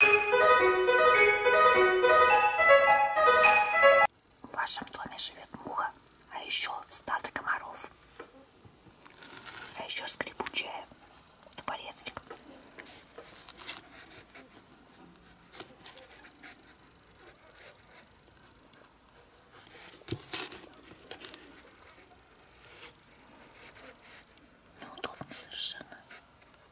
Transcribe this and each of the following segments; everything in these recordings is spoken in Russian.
В вашем доме живет муха, а еще стадо комаров. А еще скрипучая тупореточка. Неудобно совершенно.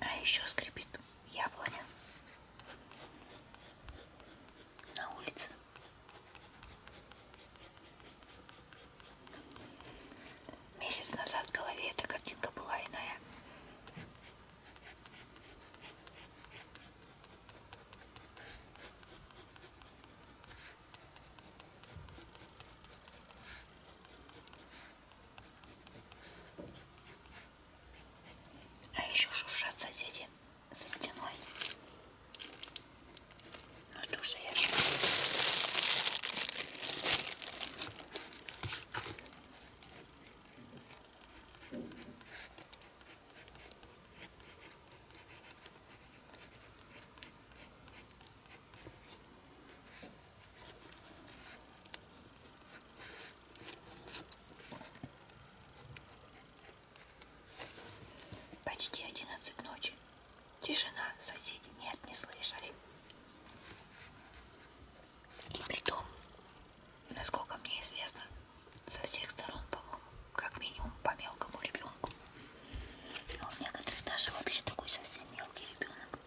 А еще скрипит яблоня на улице. Месяц назад в голове эта картинка была иная. А еще шуршат соседи за стеной. Ну тоже я Почти одиннадцать ночи. Тишина, соседи нет, не слышали. И при том, насколько мне известно, со всех сторон, по-моему, как минимум по мелкому ребенку. А у некоторых даже вообще такой совсем мелкий ребенок.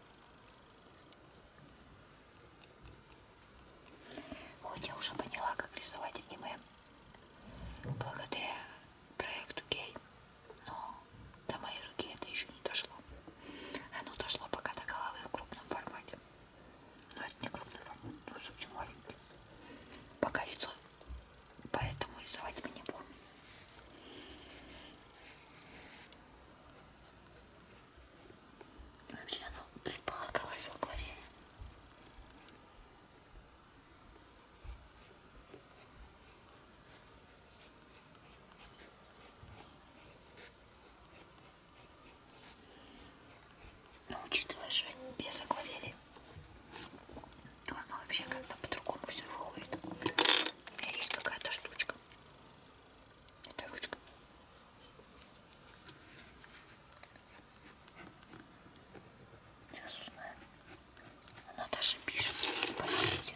Хоть я уже поняла, как рисовать аниме, благодаря проекту гей, но до моей руки это еще не дошло. Оно дошло пока до головы в крупном формате. Но это не крупный формат, но совсем маленький. Пока лицо, поэтому рисовать мне не буду. Вообще оно предполагалось в акварели. Но ну, учитывая, что без акварели, то оно вообще как-то по-другому все выходит. У меня есть какая-то штучка. Это ручка. Сейчас узнаем. Она даже пишет, понимаете.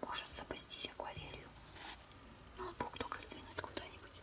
Может запастись акварелью. Ноутбук а только сдвинуть куда-нибудь.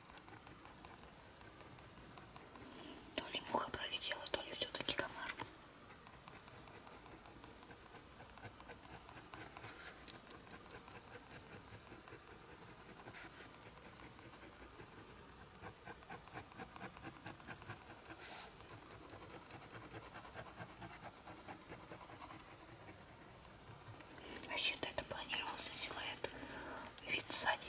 То ли муха пролетела, то ли все-таки комар. Вообще-то а это планировался силуэт вид сзади.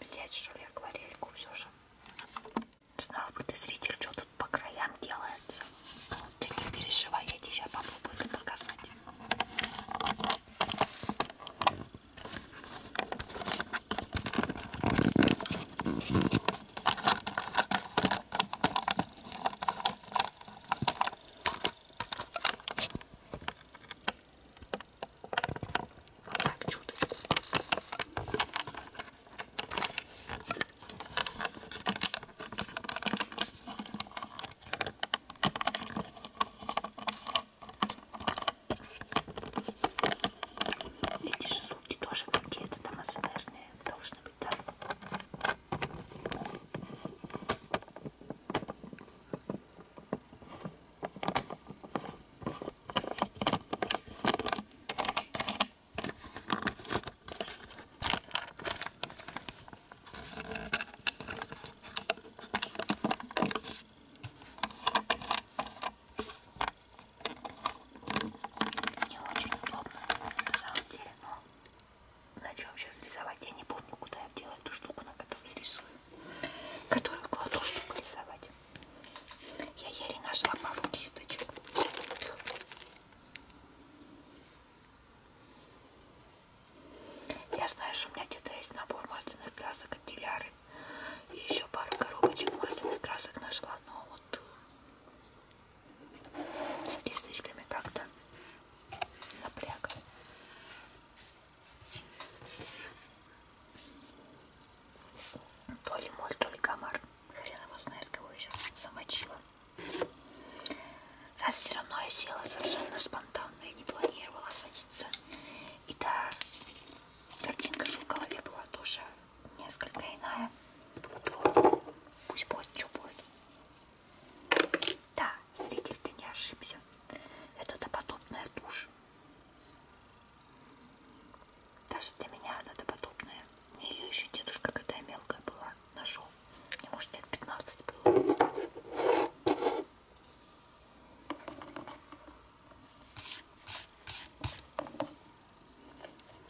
Взять, что ли, акварельку все же. Знал бы ты, зритель, что тут по краям делается. Ты не переживай, я тебе сейчас попробую это показать. Так, чуточку. Эти шелудки тоже какие-то там асмерные должны быть, да? Не очень удобно на самом деле, но на чем сейчас рисовать? Я не помню, куда я делаю эту штуку, на которой рисую, которую кладу, чтобы рисовать. Я еле нашла пару кисточек. Я знаю, что у меня где-то есть набор масляных красок от Диляры. И еще пару коробочек масляных красок нашла, но вот э, с кисточками как-то напряг. То ли моль, то ли комар. Хрен его знает, кого еще замочила. Раз все равно я села совершенно спонтанно и не планировала садиться. И та картинка в голове была тоже несколько иная. То пусть будет, что будет. Да, зритель, ты не ошибся. Это доподобная тушь. Даже для меня она-то подобная. Мне ее еще дедушка, когда я мелкая была, нашел. Мне, может, лет 15 было.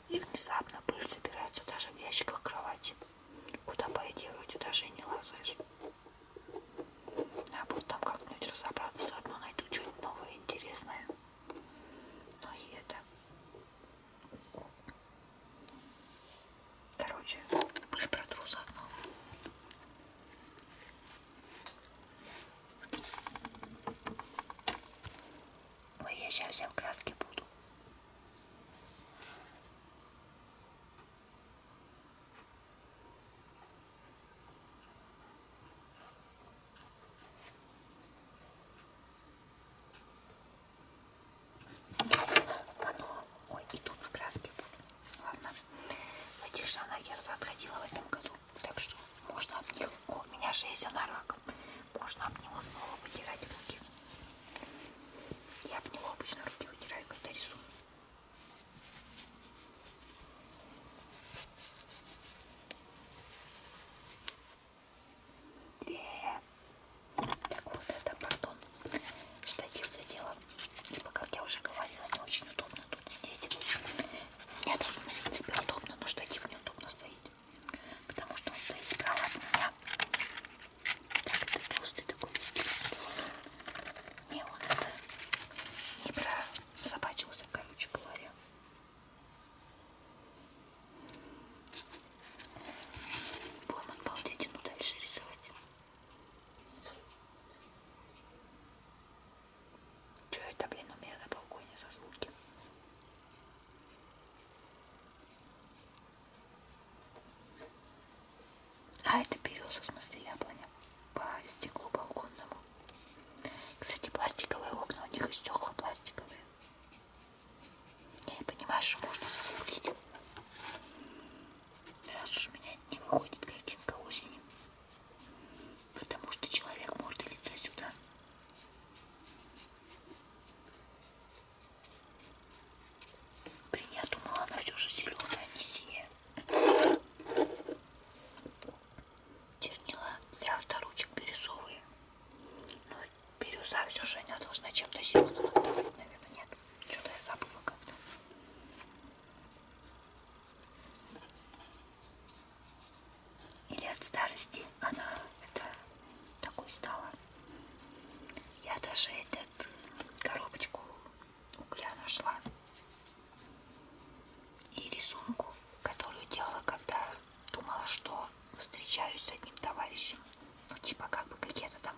И внезапно пыль собирается даже в ящиках кровати. Куда, по идее, вроде даже и не лазаешь. Я буду там как-нибудь разобраться, заодно найду что-нибудь новое интересное. Ну и это. Короче, пусть протру заодно. Ой, я сейчас вся в краске буду. Оно... Ой, и тут в краске будет. Ладно. В этих штанах я заходила в этом году. Так что можно об них... О, у меня же есть анорак. Можно об него снова вытирать руки. Я об него обычно руки вытираю, когда рисую. Так вот это, пардон, штатив задела. Ибо, как я уже говорила, не очень удобно тут сидеть. Мне даже, в принципе, удобно, но штатив неудобно стоит. Потому что он стоит справа от меня. Так, это толстый такой здесь. Не, он это не про собачился, короче говоря. Будем обалдеть, ну дальше рисовать. Что это, блин, у меня на балконе за звуки? А это береза, в смысле яблоня. По стеклу балконному. Кстати, пластиковые окна, у них и стекла пластиковые. Я не понимаю, что можно загуглить. Раз уж у меня не выходит картинка осени. Потому что человек может лица сюда. Блин, я думала, она все же зеленая, а не синяя чернила для авторучек бирюзовые. Ну, бирюза все же она должна чем-то зеленым отдавать, наверное, нет. Что-то я забыла как-то. Или от старости она это такой стала. Я даже этот коробочку угля нашла и рисунку, которую делала, когда думала, что встречаюсь с одним товарищем. Ну, типа, как бы какие-то там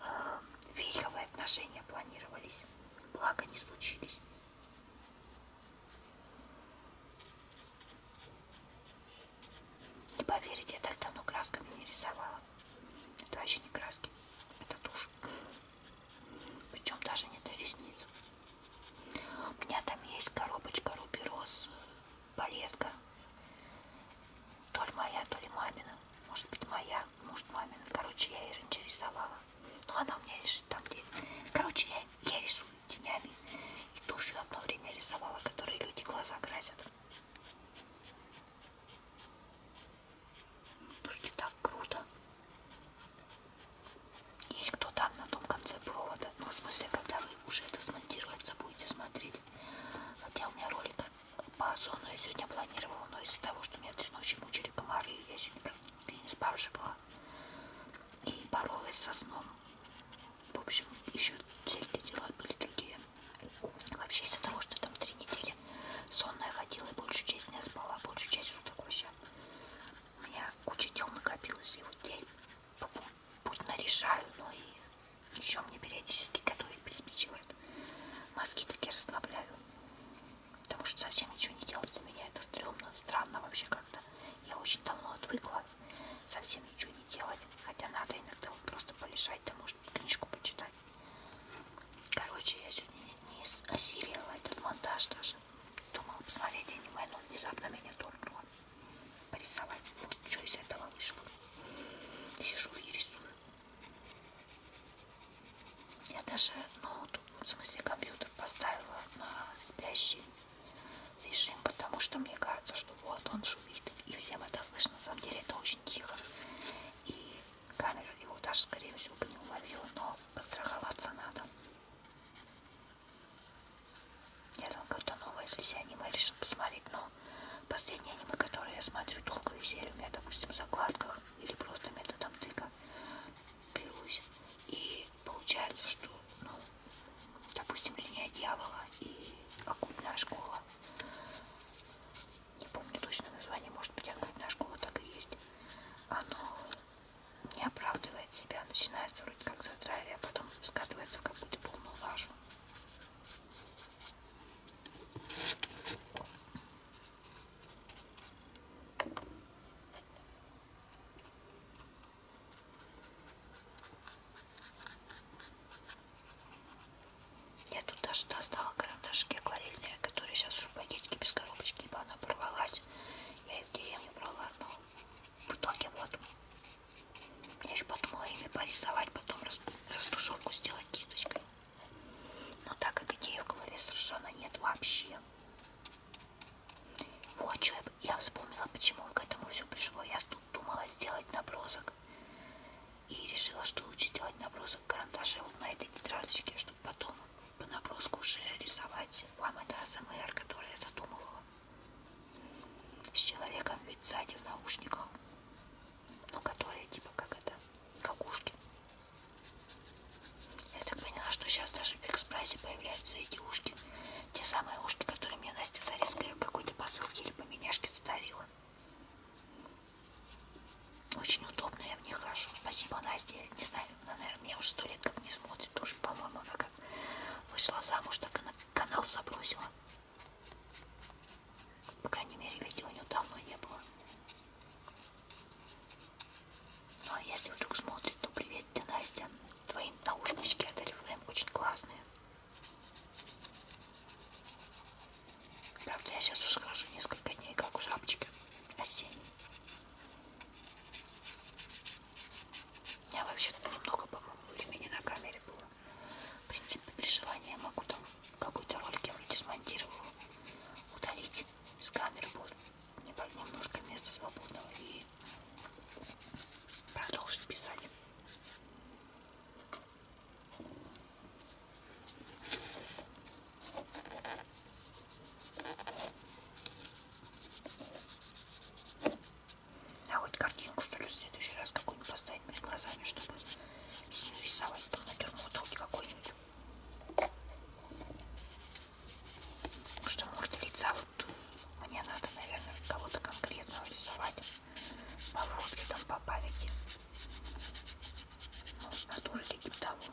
э, фейковые отношения планировались. Благо не случились. Не поверите, я так давно красками не рисовала. Это вообще не краски, это тушь. Причем даже не до ресниц. У меня там есть коробочка Руберос, балетка. То ли моя, то ли мамина. Может быть моя, может мамина. Короче, я ее раньше рисовала. Но ну, она у меня лежит там, где... Короче, я, я рисую тенями. И тушью одно время рисовала, которые люди глаза красят. Слушайте, так круто. Есть кто там на том конце провода. Ну, в смысле, когда вы уже это смонтируется, будете смотреть. Хотя у меня ролик по зону я сегодня планировала, но из-за того, что меня три ночи мучили комары, я сегодня практически не спавшая была и боролась со сном. В общем, еще всякие дела были такие. Вообще из-за того, что там три недели сонная ходила и большую часть не спала, большую часть суток вообще у меня куча дел накопилось, и вот я путь нарешаю, но и еще мне периодически готовить приспичивает. Мозги такие расслабляю. Потому что совсем ничего не делать для меня. Это стрёмно, странно вообще как-то. Я очень давно отвыкла совсем ничего не делать. Хотя надо иногда вот просто полежать, да может книжку почитать. Короче, я сегодня не, не осилила этот монтаж даже. Думала посмотреть аниме, но внезапно меня торкнуло. Порисовать. Вот что из этого вышло. Сижу и рисую. Я даже ноут, в смысле компьютер поставила на спящий режим, потому что мне кажется, что вот он шумит и всем это слышно. На самом деле это очень тихо. И Камеру его даже, скорее всего, бы не уловила, но подстраховаться надо. Нет, он какое-то новое, если я аниме решил посмотреть, но последние аниме, которые я смотрю долго и серию, у меня, допустим, в закладках или просто методом тыка берусь. И получается, что, ну, допустим, линия дьявола и оккультная школа. Не помню точно название, может быть, оккультная школа так и есть. Оно не оправдывает себя, начинается вроде как задрайве, а потом скатывается в какую-то полную лажу. Я тут даже достала карандашки акварельные, которые сейчас уже в пакетике без коробочки, ибо она порвалась делать. Я их в деревне брала, но в итоге вот. Я еще подумала ими порисовать, потом растушевку сделать кисточкой. Но так как идеи в голове совершенно нет вообще. Вот что я, я вспомнила, почему к этому все пришло. Я тут думала сделать набросок. И решила, что лучше сделать набросок карандашем вот на этой тетрадочке, потом по наброску уже рисовать вам это АСМР, которое я задумывала. С человеком ведь сзади в наушниках. Ну, которые типа как это, как ушки. Я так поняла, что сейчас даже в экспрессе появляются эти ушки. Те самые ушки, которые мне Настя Зарецкая в какой-то посылке или по меняшке задарила. Очень удобно, я в них хожу. Спасибо, Настя. Не знаю, она, наверное, уже сто лет как не смотрит, уж, по-моему, она как вышла замуж, так она канал забросила. По крайней мере, видео у нее давно не было. Ну, а если вдруг смотрит, то привет, ты, Настя. Твои наушнички от Oriflame очень классные. Правда, я сейчас уже хожу несколько дней, как у жабочки осенней. Я вообще-то немного, по-моему, времени на камере было. В принципе, при желании я могу там какой-то ролик я вроде смонтировала, удалить с камеры будет немножко места свободного и продолжить писать. А вот картинку, что ли, в следующий раз какую-нибудь поставить перед глазами, чтобы с ней рисовать там натюрморт хоть какой-нибудь. Потому что морда лица вот мне надо, наверное, кого-то конкретного рисовать по фотке, там, по памяти. Ну, натуры таким того. А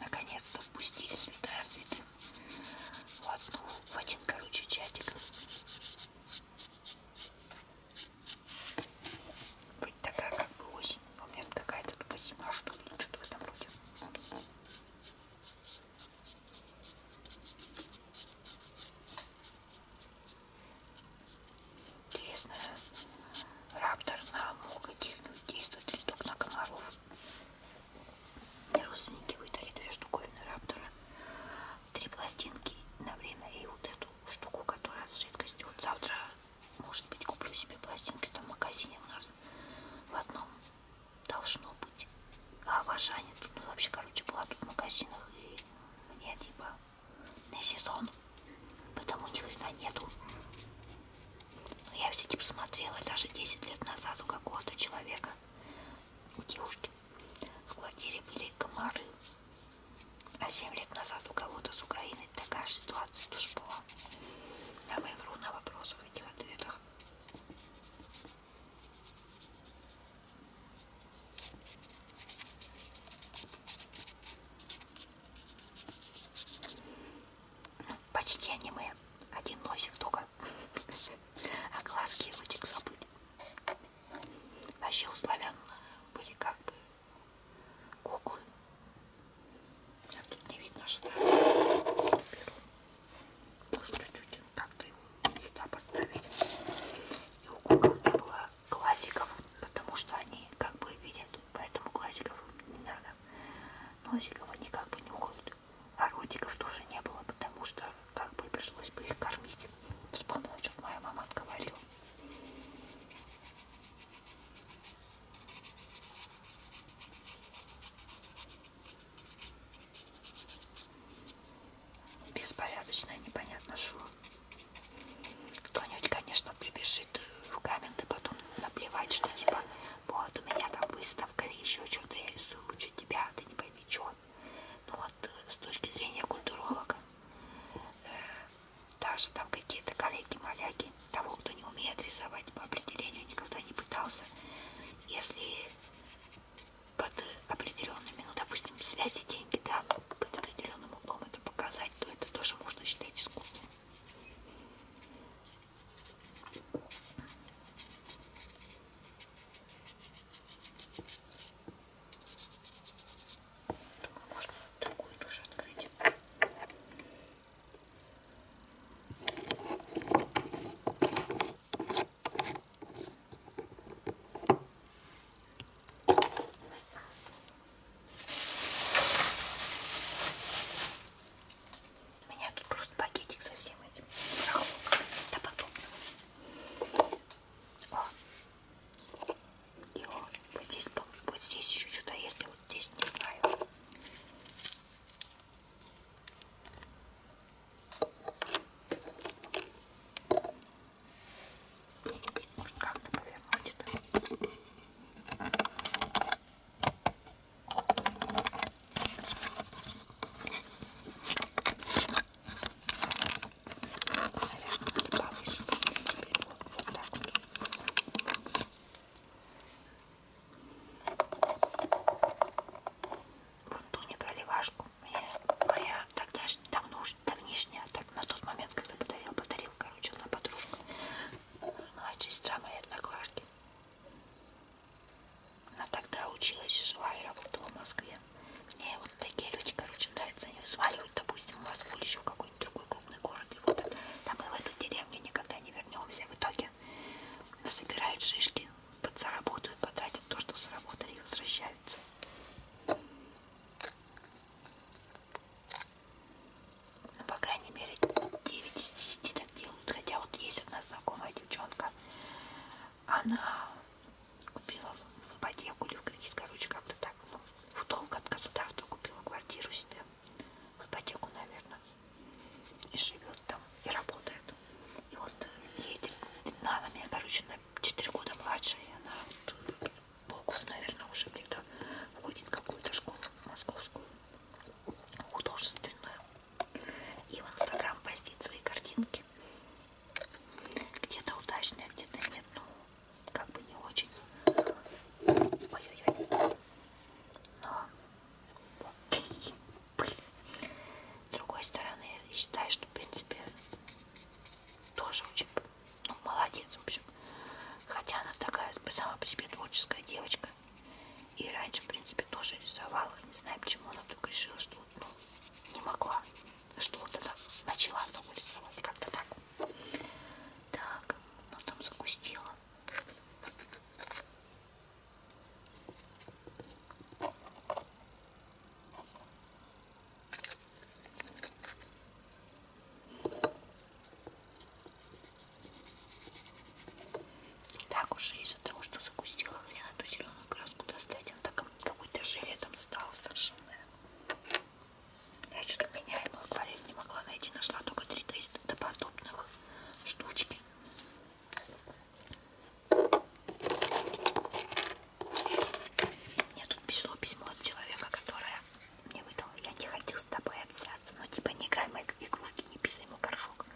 наконец-то впустили святая святых в одну, в один, короче, чатик. Вроде такая как бы осень, по-моему, какая-то тупо зима, что ли, что-то в этом роде. Интересно, раптор на мог действует риток на комаров. Мне родственники выдали две штуковины раптора, три пластинки на время и вот эту штуку, которая с жидкостью. Вот завтра, может быть, куплю себе пластинки там в магазине у нас в одном должно быть. А в Ашане тут ну, вообще, короче, была тут в магазинах и мне типа на сезон, потому ни хрена нету. Но я все-таки посмотрела даже 10 лет назад у какого-то человека, у девушки, в квартире были комары. А 7 лет назад у кого-то с Украины такая ситуация тоже была. Я а вру на вопросах этих ответах. Почти аниме. Один носик только. А глазки вытек забыть. Вообще у славян были как бы куклы. А тут не видно, что беру. Просто чуть как-то сюда поставить. И у кукол не было классиков, потому что они как бы видят, поэтому классиков не надо. Носиков они как бы нюхают вот. А родиков тоже не было, потому что как бы пришлось бы их кормить. Вспомнила, что моя мама говорила. Беспорядочное, непонятно что. Кто-нибудь, конечно, прибежит в комменты потом наплевать, что типа вот, у меня там выставка или еще что-то, я рисую лучше тебя, ты не пойми, что. Ну вот, э, с точки зрения культуролога, э, даже там какие-то коллеги-маляки, того, кто не умеет рисовать по определению, никогда не пытался, если под определенными, ну, допустим, связи деньги, да, под определенным углом это показать, то это тоже можно считать искусством. Думаю, можно другую тоже открыть. У меня тут просто пакетик со всем этим. Да подобного. О. И вот, вот здесь, вот здесь еще что-то есть, а вот здесь не знаю. Может как-то повернуть это. Наверное, не повыше. Теперь вот, вот так вот. Вот ту непроливашку мне моя тогда давно, давнишняя, так на тот момент, когда подарил, подарил, короче, одна подружка. Ну, а сестра моей одноклашки. Она тогда училась и жила и работала в Москве. Мне вот такие люди, короче, нравятся. Они взваливают, допустим, в Москву или еще какой-нибудь другой крупный город. И вот там и в эту деревню никогда не вернемся. В итоге собирают шишки, подзаработают, потратят то, что заработали и возвращаются. Ну, по крайней мере, 9 из 10 так делают. Хотя вот есть одна знакомая девчонка. Она купила ипотеку или в кредит, короче, как-то так. Ну, в долг от государства купила квартиру себе. В ипотеку, наверное. И живет там, и работает. И вот ей ну, она, она меня, короче, на 4 года младше. И она вот, полгода, наверное, уже где-то уходит в какую-то школу московскую художественную. И в Инстаграм постит свои картинки. Где-то удачные, где-то нет. Ну, как бы не очень. Ой-ой-ой. Но вот. Пыль. С другой стороны, я считаю, что в принципе тоже очень ну, молодец, в общем. Хотя она такая самая по себе творческая девочка девочка. И раньше, в принципе, тоже рисовала. Не знаю, почему она вдруг решила, что ну, не могла. Что вот она начала много рисовать. Как-то так. Так, ну там загустила. Так уж и из-за того, что загустила хрен эту зеленую краску достать, он так какой-то жилетом стал совершенно. Я что-то меняемую акварель не могла найти, нашла только 3300 до подобных штучки. Мне тут пришло письмо от человека, которое мне выдал, я не хотел с тобой общаться, но типа не играй мои игрушки, не писай ему горшок много.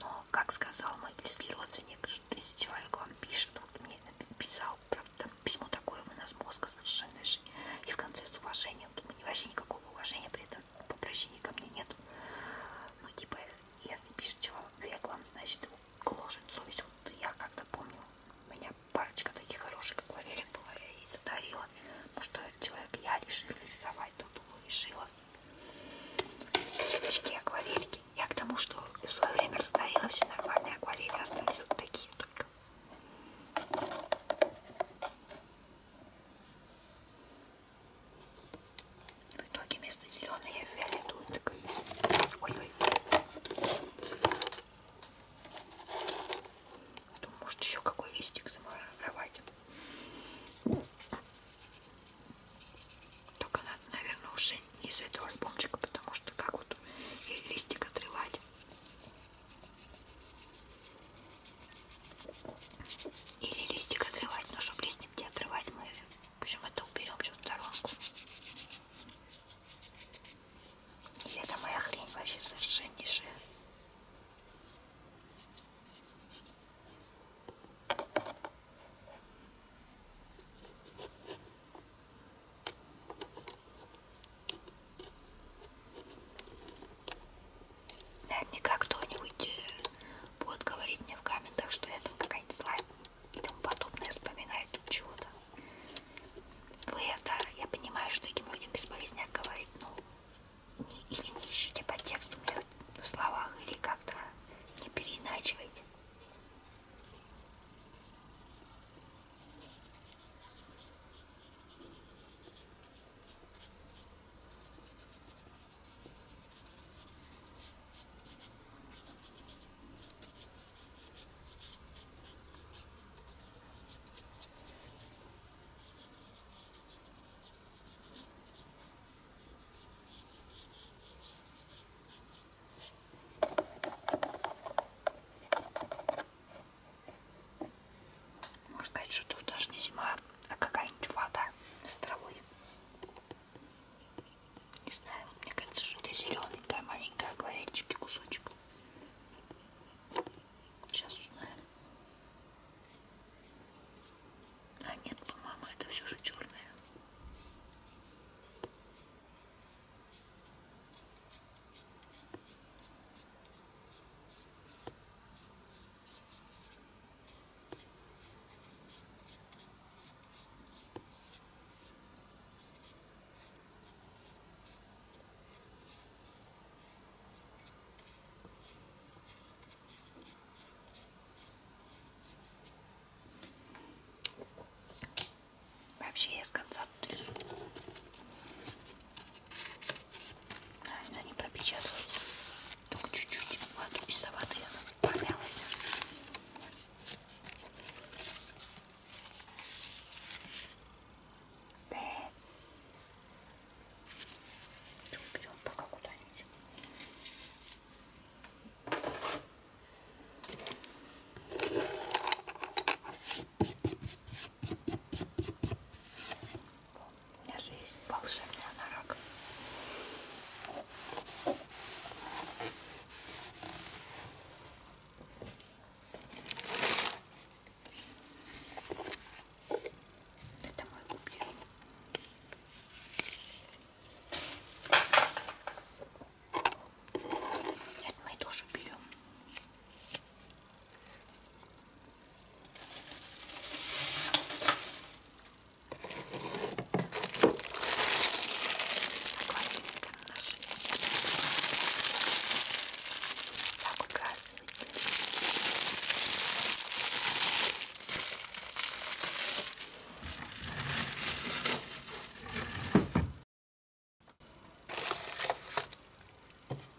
Но, как сказал мой близкий родственник, что если человек вам пишет, вот мне написал, правда, там письмо такое, вынос мозга совершенно же, и в конце с уважением, думаю, вообще никакого уважения при этом по обращению ко мне нету. Ну, типа, если пишет человек вам, значит, его гложет совесть. Вот я как-то помню, у меня парочка таких хороших, как Валерик была, я ей задавила. Ну, что человек, я решила рисовать, то думаю, решила кисточки, акварельки. Я к тому, что в свое время расставила все нормальные акварели, остались вот такие только. В итоге вместо зеленой я фиолетовую такой. Ой-ой. Думаю, может еще какой листик замаровать. Только надо, наверное, уже не из этого альбомчика, потому что как вот ей листик отрывать. Или листик отрывать, но чтобы листик не отрывать, мы в общем это уберем в сторонку. И это моя хрень вообще совершеннейшая. Наверняка кто-нибудь э, будет говорить мне в комментах, что я там какая-нибудь злая и тому подобное вспоминает тут чего-то. Вы это, я понимаю, что этим людям бесполезно говорить, но или не ищите по тексту в словах, или как-то не переиначивайте. Можно сказать, что тут даже не зима, а какая-нибудь вода с травой. Не знаю, мне кажется, что это зелененькая маленькая акварельчики кусочек. Сейчас узнаем. А нет, по-моему, это все же черное. Вообще я с конца трясу. Она не пропечаталась. Только чуть-чуть. Вот из-за воды она помялась. Да уберем пока куда-нибудь. У меня же есть волшебный анорак. Это мой купил. Нет, мы тоже берем. Так вот раз показывать.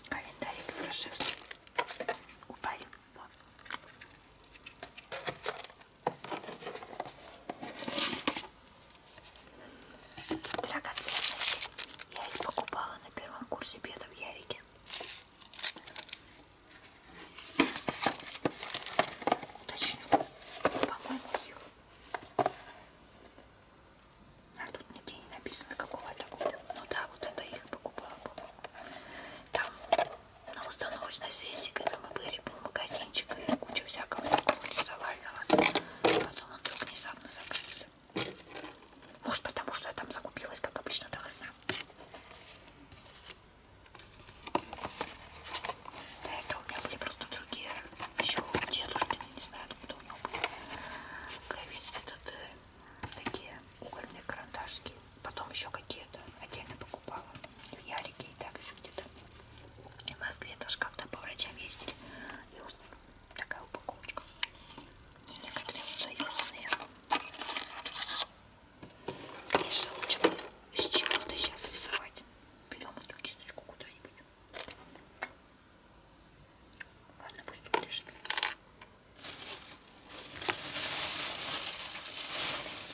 Календарик прошивки упали. Вот. Драгоценности. Я их покупала на первом курсе беда в Ярике. Уточню. По-моему, их. А тут нигде не написано, какого это года. Ну да, вот это их покупала, по-моему. Там на установочной сессии, когда мы были, был магазинчик и куча всякого такого рисовального. Потом он вдруг внезапно закрылся. Может потому, что я там закупилась, как обычно, до хрена. Да, это у меня были просто другие. Еще у дедушки, не знаю, откуда у него были ковид этот, э, такие угольные карандашки. Потом еще какие-то отдельно покупала. В ну, Ярике и так еще где-то. В Москве тоже как-то по врачам ездили. И вот такая упаковочка. И некоторые вот заюзанные. Конечно, лучше с чего-то сейчас рисовать. Берем эту кисточку куда-нибудь. Ладно, пусть тут лежит.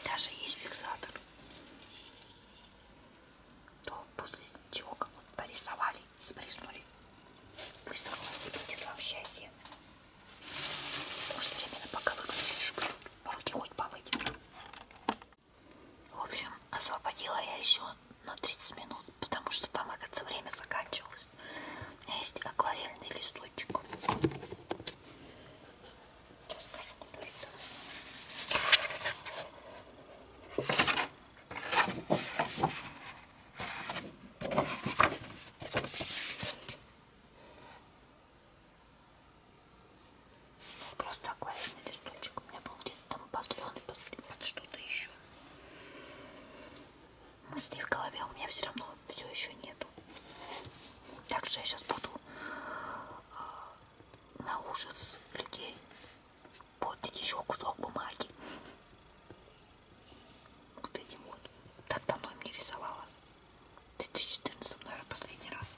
Даже есть фиксатор. То после чего как вот порисовали, спреснули. Высохло и будет вообще осенное. Может, временно пока выключишь, руки хоть помыть. В общем, освободила я еще на 30 минут, потому что там, оказывается, время заканчивалось. У меня есть акварельный листочек. Сейчас скажу, куда это. Был просто акварельный листочек. У меня был где-то там батлен под, под что-то еще. Мыслей в голове у меня все равно все еще нету. Так что я сейчас буду а, на ужас людей портить еще кусок бумаги вот этим вот. Так давно им не рисовала. В 2014, наверное, последний раз.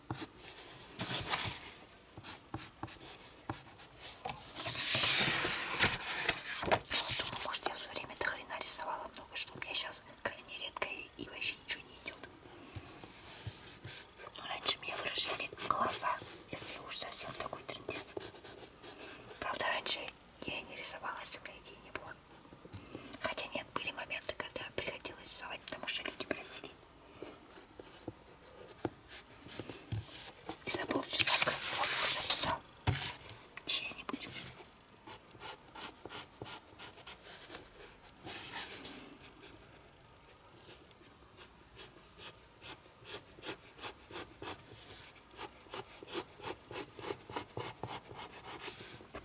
Думаю, может я все время до хрена рисовала много, что у меня сейчас крайне редко и вообще ничего не идет. Но ну, раньше меня выражали глаза, если уж совсем такой трендец. Правда, раньше я и не рисовала, если у меня идеи не было. Хотя нет, были моменты, когда приходилось рисовать, потому что люди просили. И за полчаса жарится чья-нибудь.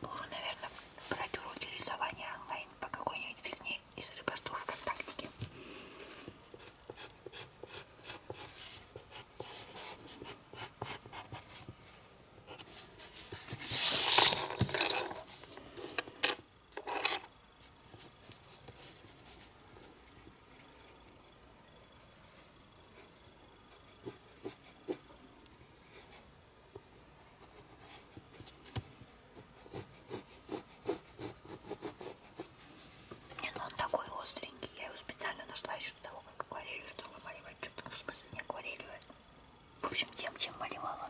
Буду, наверное, брать уроки рисования онлайн по какой-нибудь фигне из рыбостов ВКонтактике. Не, ну он такой остренький. Я его специально нашла еще до того, как акварелью стала маливать. Что-то в смысле не акварелью. В общем, тем, чем малевала.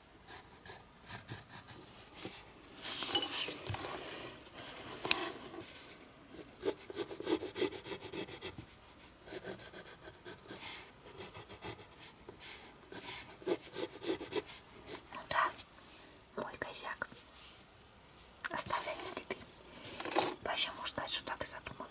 Ну да, мой козяк оставляет следы. Вообще можно сказать, что так и задумано.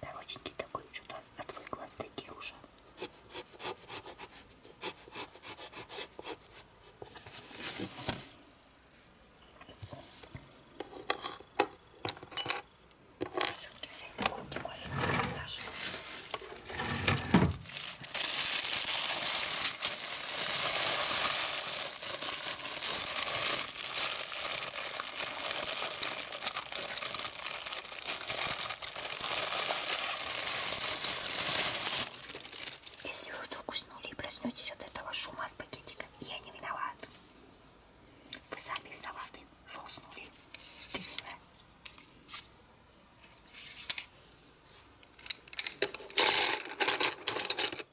Коротенький такой, что-то отвыкла от таких уже. Все-таки взять такой небольшой карандаш. Сейчас если вы вдруг уснули и проснетесь от этого шума от пакетика, я не виноват. Вы сами виноваты, вы уснули. Ты виноват.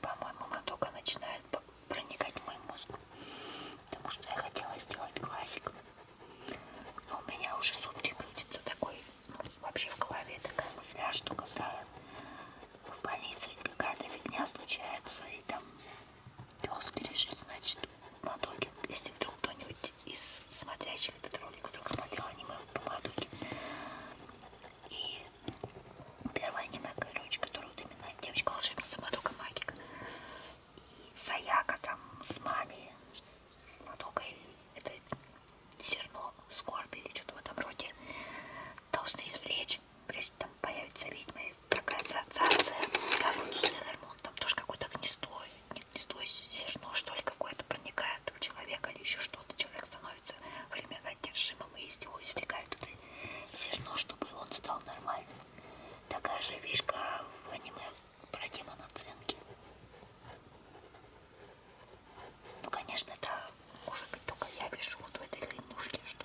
По-моему, матока начинает проникать в мой мозг, потому что я хотела сделать классик. Но у меня уже сутки крутится такой, ну, вообще в голове такая мысля, а что когда я в больнице какая-то фигня случается, и там пес лежит, значит, на доге. Если вдруг кто-нибудь из смотрящих этот ролик вдруг смотрел аниме по Мадуке. И первое аниме, короче, которое вот именно девочка-волшебница Мадука Магика. И Саяка там с Мами, с Мадукой, это зерно скорби или что-то в этом роде должны извлечь прежде там появится ведьма, такая ассоциация, как ну, вот с Ледермон, там тоже какое-то гнездо, нет, гнездо зерно, что ли, какое-то проникает в человека или еще что-то, человек становится временно одержимым, и из него извлекают это зерно, чтобы он стал нормальным. Такая же фишка в аниме про демона Цинки. Ну, конечно, это может быть только я вижу вот в этой хренушке, что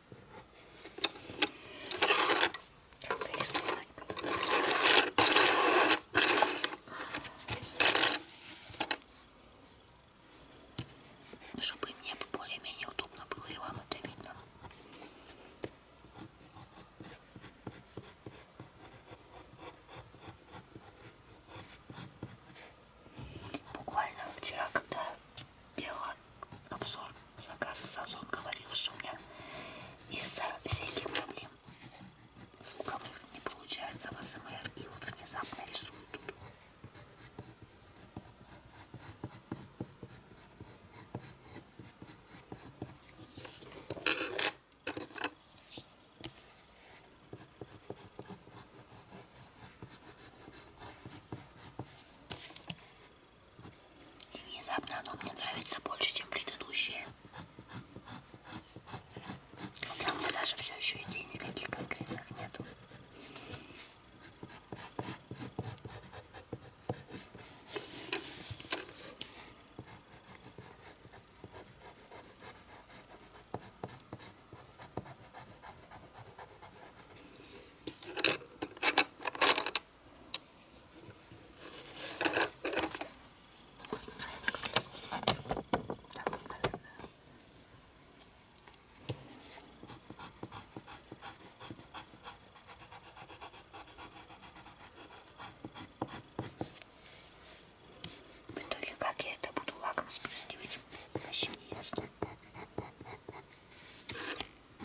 Как-то рисовать. Чтобы мне более-менее удобно было и вам это видно. Буквально вчера, когда делала обзор заказа с Озон говорил, что у меня из-за всяких проблем звуковых не получается в АСМР. И вот внезапно рисую тут. И внезапно оно мне нравится больше, чем предыдущее. Хотя у меня даже все еще идей никаких конкретных нету. В итоге как я это буду лаком спрыскивать, вообще не ясно.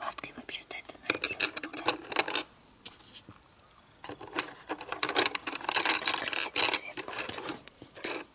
Лапкой вообще-то это найдет много. Ну Красивый цвет будет.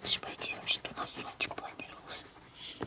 Лучше пойти вообще у нас зонтик планировался.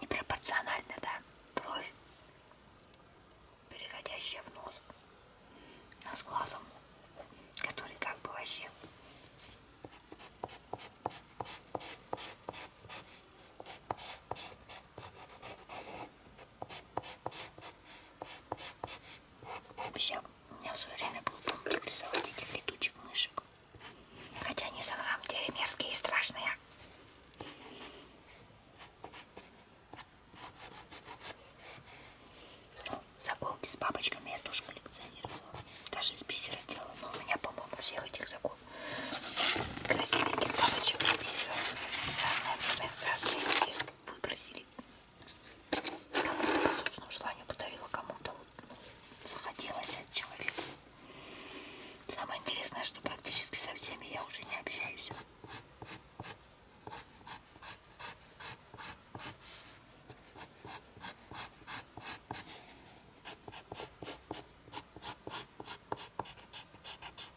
Непропорционально, да? Бровь, переходящая в нос, а с глазом, который как бы вообще... Вообще, у меня в свое время был публик рисовать этих летучих мышек. Хотя они за нам деле мерзкие и страшные. Ну, заколки с бабочками я тоже коллекционировала. Даже из бисера делала. Но у меня, по-моему, всех этих заколок красивеньких бабочек из бисера. Разные, разные, разные выбросили. Кому-то по собственному желанию подарила, кому-то вот, ну, захотелось от человека. Самое интересное, что практически со всеми я уже не общаюсь.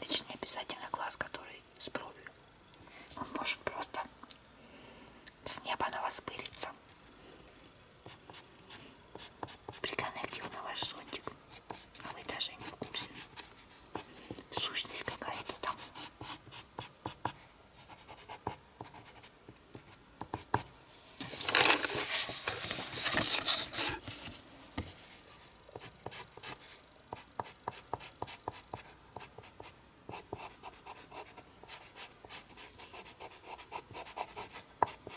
Личный обязательно глаз, который с бровью. Он может просто с неба на вас пылиться. Приконектил на ваш зонтик, а вы даже не в курсе. Сущность какая-то там.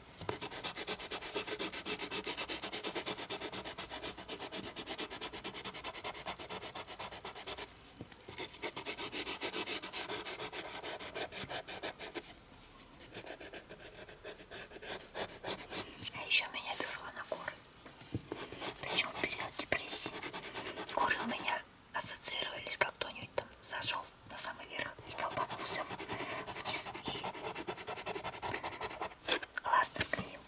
А еще меня берла на горы. Причем период депрессии. Горы у меня ассоциировались, как кто-нибудь там зашел на самый верх и толпанулся вниз и ластер скрыл.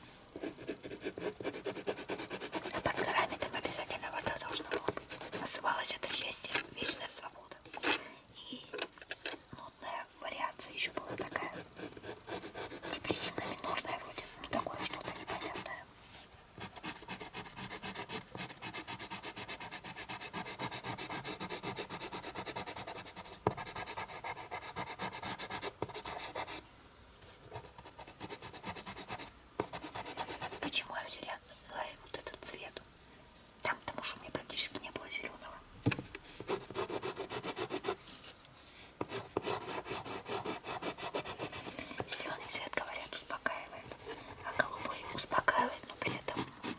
А под горами там обязательно вода должна была быть. Называлось это счастье, вечная свобода. И нотная вариация еще была такая. Депрессивно-минорная вроде. Ну такое что-то непонятное. Почему я взяла вот этот цвет? Там, потому что у меня практически не было зеленого. Зеленый цвет, говорят, успокаивает, а голубой успокаивает, но при этом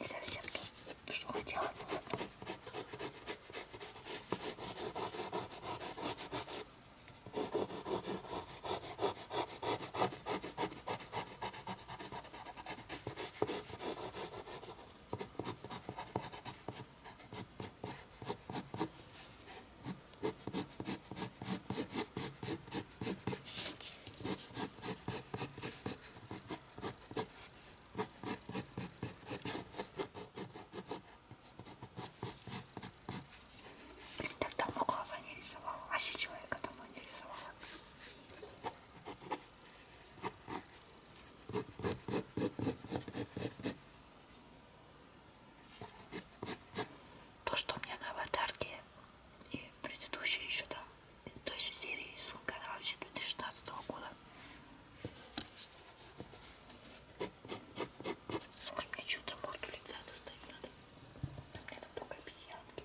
Не совсем то, что хотела. Так давно глаза не рисовала, а вообще человека давно не рисовала. То, что у меня на аватарке и предыдущие еще там, той же серии «Сумка вообще 2016 года. Может мне что-то морду лица достать надо? У меня там только обезьянки.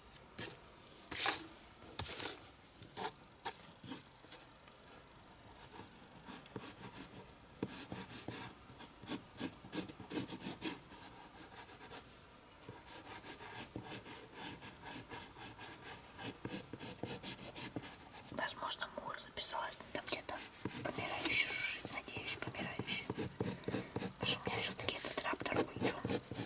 Возможно, муха записалась, но там где-то помирающий жужжит, надеюсь, помирающий. Потому что у меня все-таки этот раптор включен.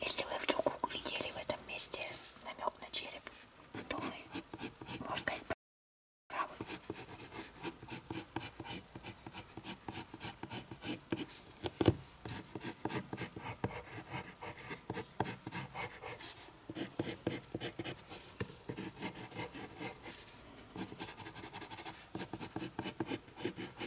Если вы вдруг увидели в этом месте намек на череп, то вы, может быть, правы.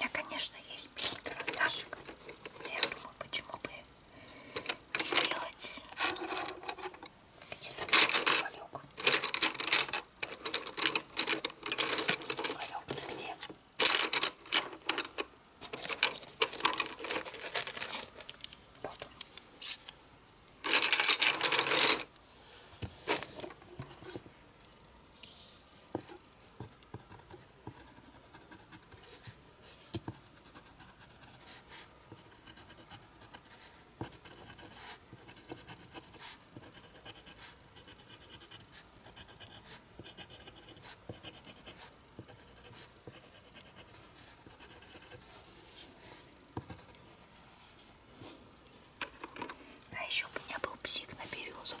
Я, конечно, ей здесь пять карандашек. Я думаю, почему бы не сделать где-то уголек. Уголек-то где? Вот он. А еще у меня был псих на березах.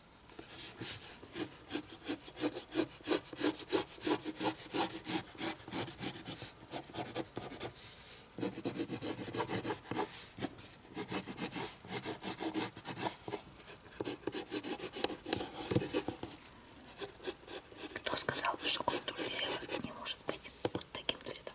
Кто сказал, что контур дерева не может быть вот таким цветом?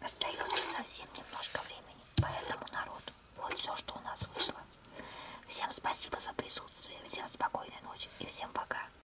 Остается совсем немножко времени, поэтому народ, вот все, что у нас вышло. Всем спасибо за присутствие, всем спокойной ночи и всем пока.